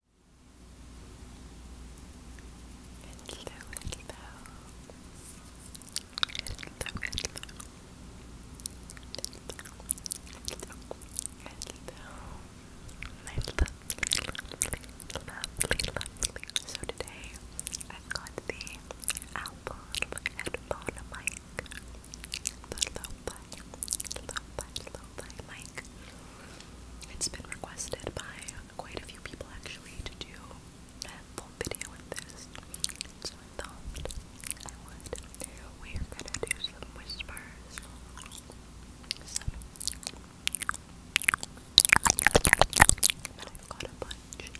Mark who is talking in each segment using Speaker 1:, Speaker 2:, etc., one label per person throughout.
Speaker 1: Hello, hello. So today I've got the Apple headphone mic. The lo I like it's been requested by quite a few people actually to do a full video with this. So I thought I would. We are gonna do some whispers. Some but I've got a bunch.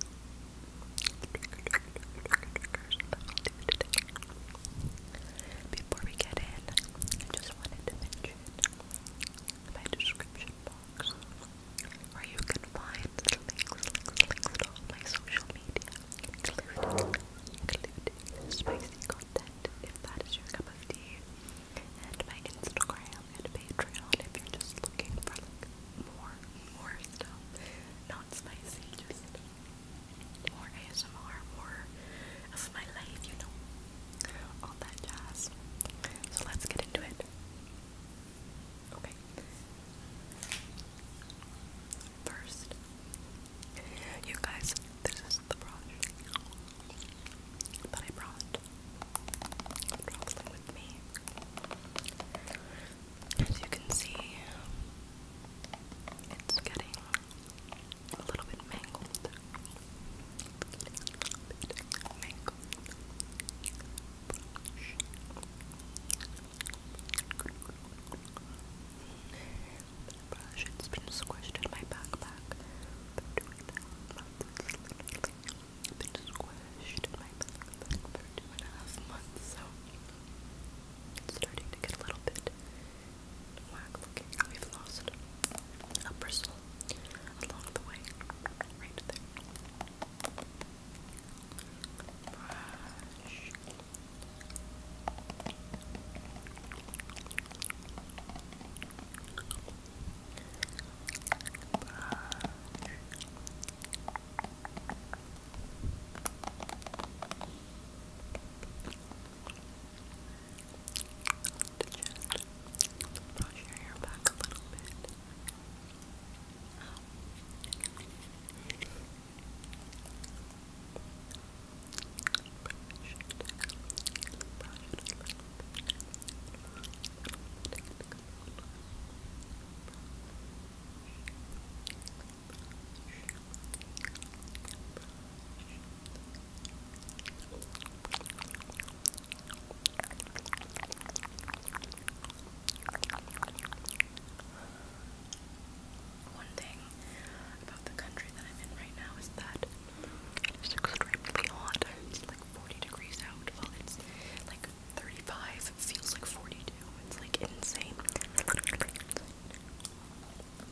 Speaker 1: Before we get in, I just wanted to mention my description box where you can find links, to all my social media, including spicy content if that is your cup of tea, and my Instagram and Patreon if you're just looking for like more, more stuff, not spicy, just more ASMR, more of my life, you know, all that jazz. So let's get into it. Okay. First, you guys, this is the brush that I brought. I brought them with me. As you can see, it's getting a little bit mangled. Mangled. Brush. It's been squished in my backpack. Been squished in my backpack for two and a half months, so it's starting to get a little bit whack oh, We've lost a bristle along the way. Right there to just brush your hair back a little bit. One thing about the country that I'm in right now is that it's extremely hot. It's like 40 degrees out. Well, it's like 35. It feels like 42. It's like insane.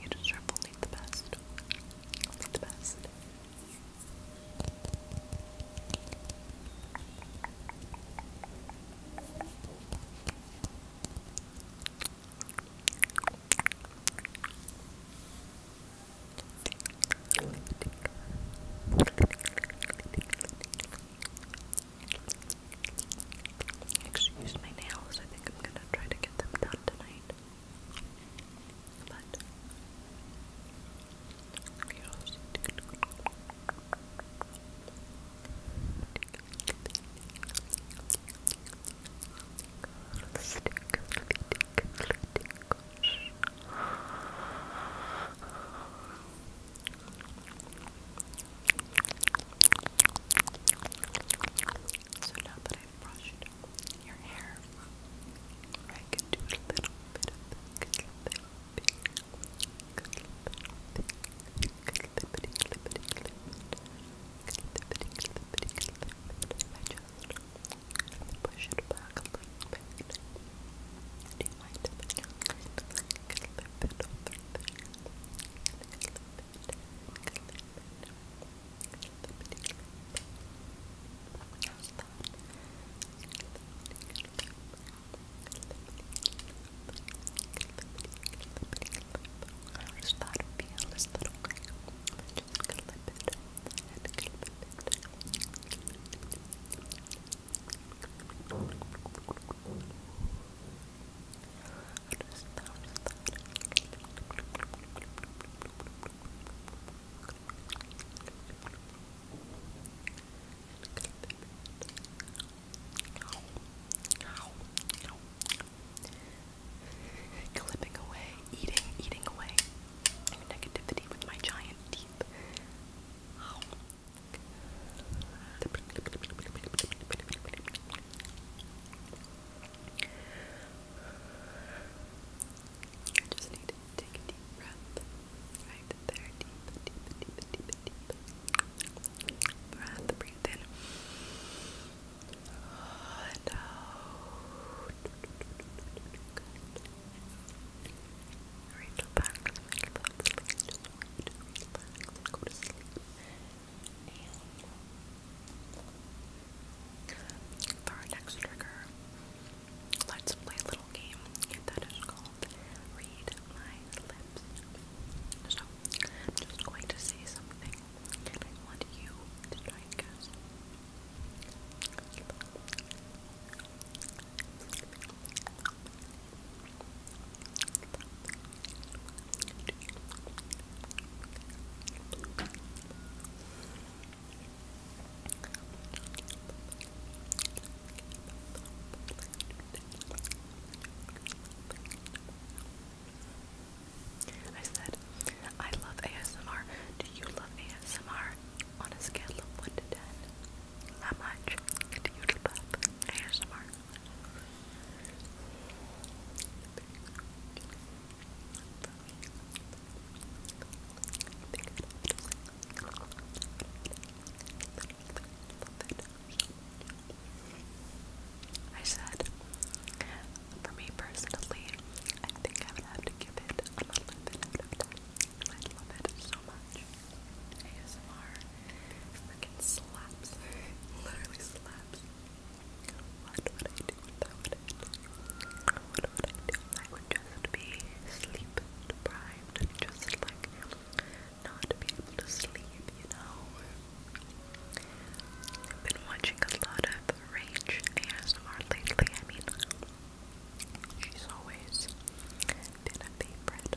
Speaker 1: You deserve only the best. Only the best. Excuse my nails, I think I'm gonna try to get them done tonight. But so now that I've brushed your hair, I can do a little bit of good lippity, good lippity, good lippity, lippity, lippity, lippity, lippity, lippity, lippity. I just push it back a little bit. Do you might have been like a little bit over there. Like a little bit, like a little bit. How's that? How does that feel? Is that okay? Just a little bit. And a little bit. Clipping away, eating, eating away negativity with my giant teeth. You just need to take a deep breath. Right there. Deep, deep, deep, deep, deep. Breath. Breathe in. And out. Good. Rachel Parks, Rachel Parks, Rachel our next trigger, let's play a little game that is called Read My Lips. I'm just going to say something, and I want you to try and guess. I said, I love ASMR. Do you love ASMR? On a scale of 1 to 10. How much do you love ASMR? I said, for me personally, I think I would have to give it a little I love it so much. ASMR Freaking slaps. Literally slaps. What would I do without it? What would I do? I would just be sleep deprived just like not be able you know? I've been watching a lot of Rage ASMR lately. I mean, she's always been a favorite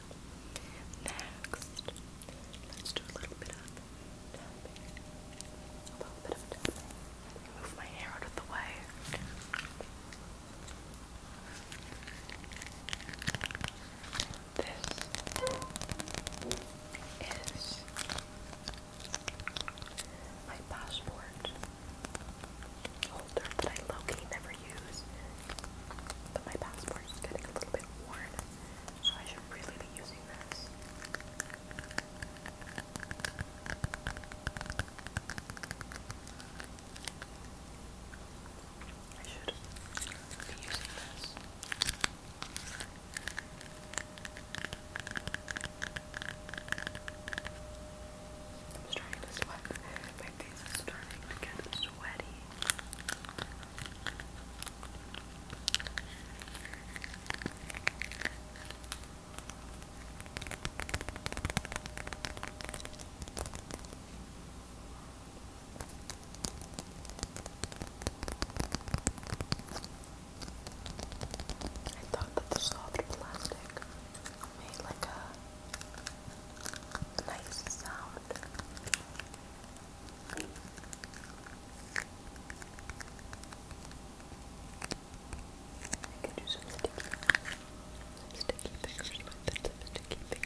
Speaker 1: Next, let's do a little bit of tapping. A little bit of tapping. Move my hair out of the way. This is my passport holder that I low-key never use. But my passport is getting a little bit worn, so I should really be using this. I should be using this. I'm starting to sweat. My face is starting to get sweaty. I thought that the soft plastic made like a nice sound. I can do some sticky, sticky fingers, methods of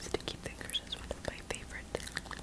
Speaker 1: sticky fingers. Sticky fingers is one of my favorite triggers.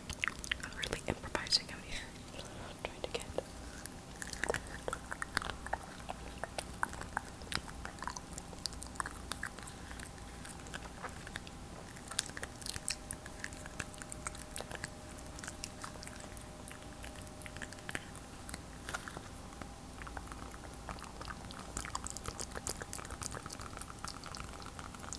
Speaker 1: I'm really improvising out here. trying to get.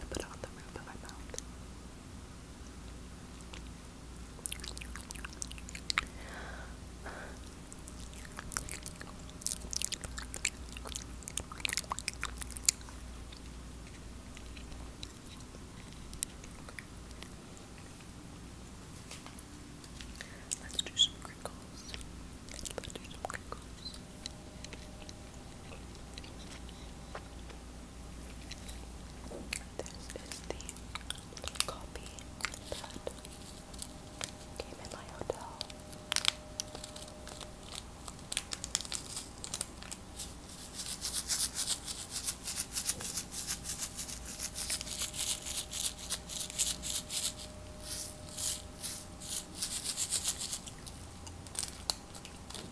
Speaker 1: I put on the roof Let's do some crinkles. Let's do some crinkles. This is the copy that came in my hotel.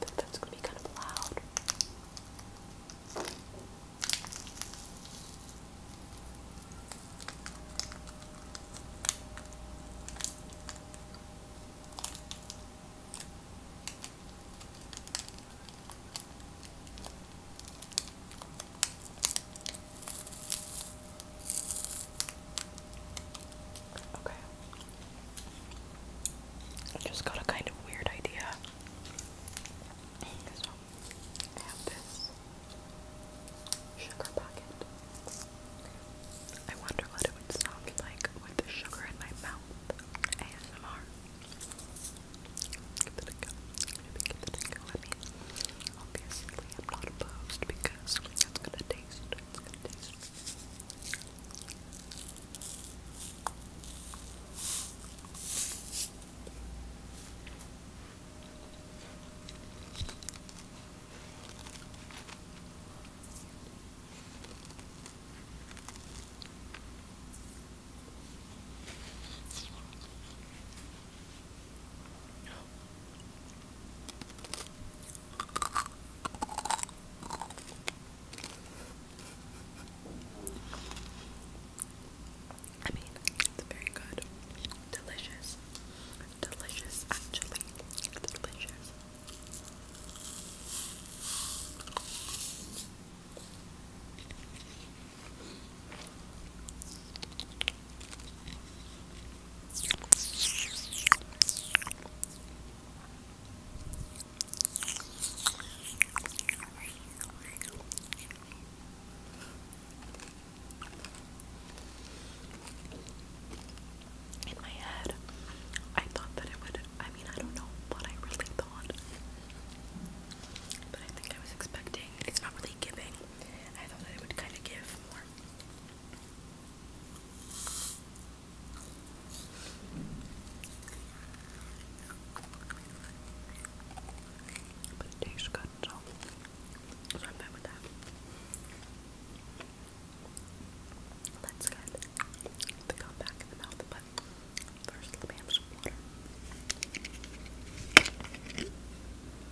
Speaker 1: But that's gonna be kind of loud. Okay. I just got a kind of weird idea. I have this sugar bucket. I wonder what it would sound like with the sugar in my mouth. ASMR. Give it a go. give it a go. Let me Obviously, I'm not opposed because it's gonna taste, gonna taste. I I mean, it's very good, delicious, delicious, actually, delicious. In my head, I thought that it would. I mean, I don't know what I really thought, but I think I was expecting. It's not really giving. But tastes good, so, I'm fine with that. Let's get the back in the mouth, but first let me have some water.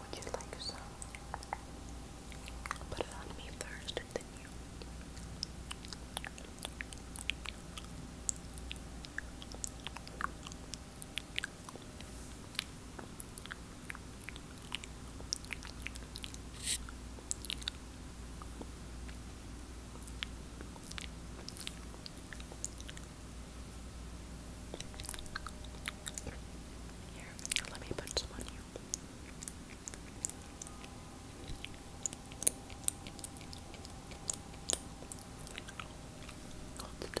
Speaker 1: Would you like some? Put it on me first and then you. Here, let me put some on you. Just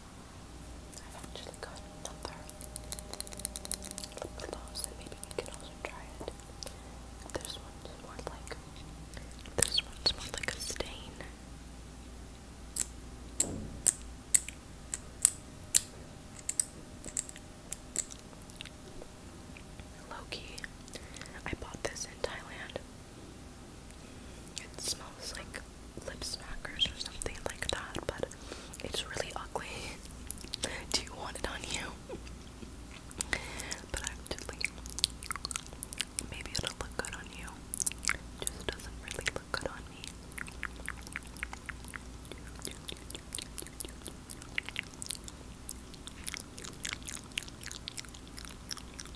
Speaker 1: I've actually got another lip gloss and maybe you can also try it. This one's more like this one's more like a stain. Loki. I bought this in Thailand. It smells like lip smackers or something like that, but it's really ugly. Do you want it on you? But actually, maybe it'll look good on you. just doesn't really look good on me.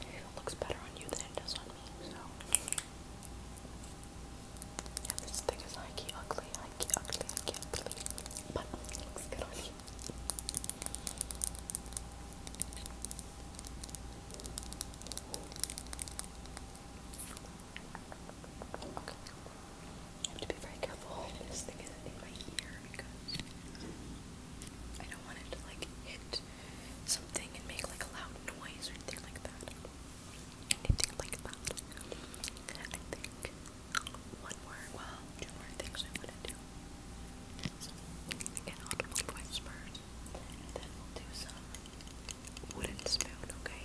Speaker 1: It looks better on you than it does on me, so. Yeah, this thing is hikey ugly, hikey ugly, ugly. But looks good on you. Okay. I have to be very careful this thing is in my ear because I don't want it to like hit something and make like a loud noise or anything like that. Anything like that. I think one more, well, two more things I want to do. So, again, then we'll do some wooden spoon, okay?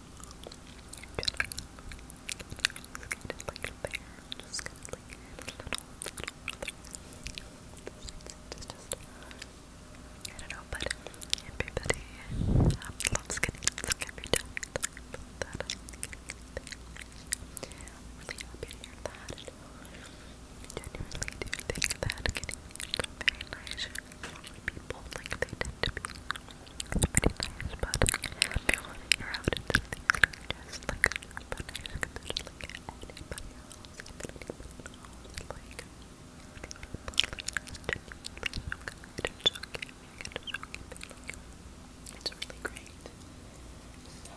Speaker 1: just gonna like it's just I don't know, but everybody um, loves getting sick every time that I'm really happy to hear that and I genuinely do think that getting sick is very nice for people like they tend to be pretty nice, but you're out into the just like but I just could just like anybody else, anybody else, like it's okay, it's okay, it's really great. So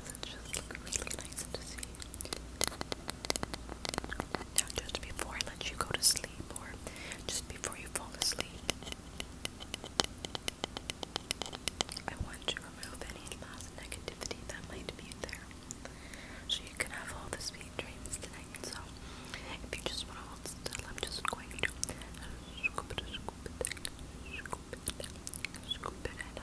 Speaker 1: yes, it's just like really nice to see. Now, just before I let you go to sleep, or just before you fall asleep, I want to remove any last negativity that might be there. So you can have all the sweet dreams tonight. So, if you just want to still, I'm just going to scoop it, scoop it, scoop it, scoop it, and.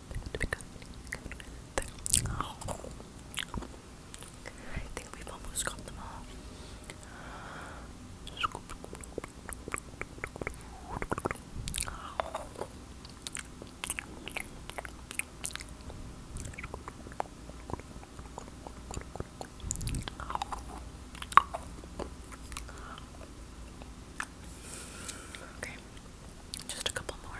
Speaker 1: I think we've almost got them all. Okay, just a couple more.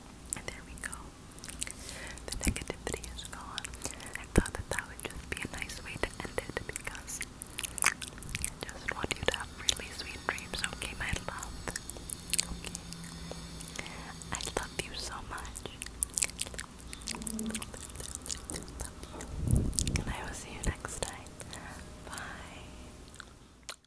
Speaker 1: There we go. The negativity is gone. I thought that that would just be a nice way to end it because I just want you to have really sweet dreams, okay, my love? Okay. I love you so much. And I will see you next time. Bye.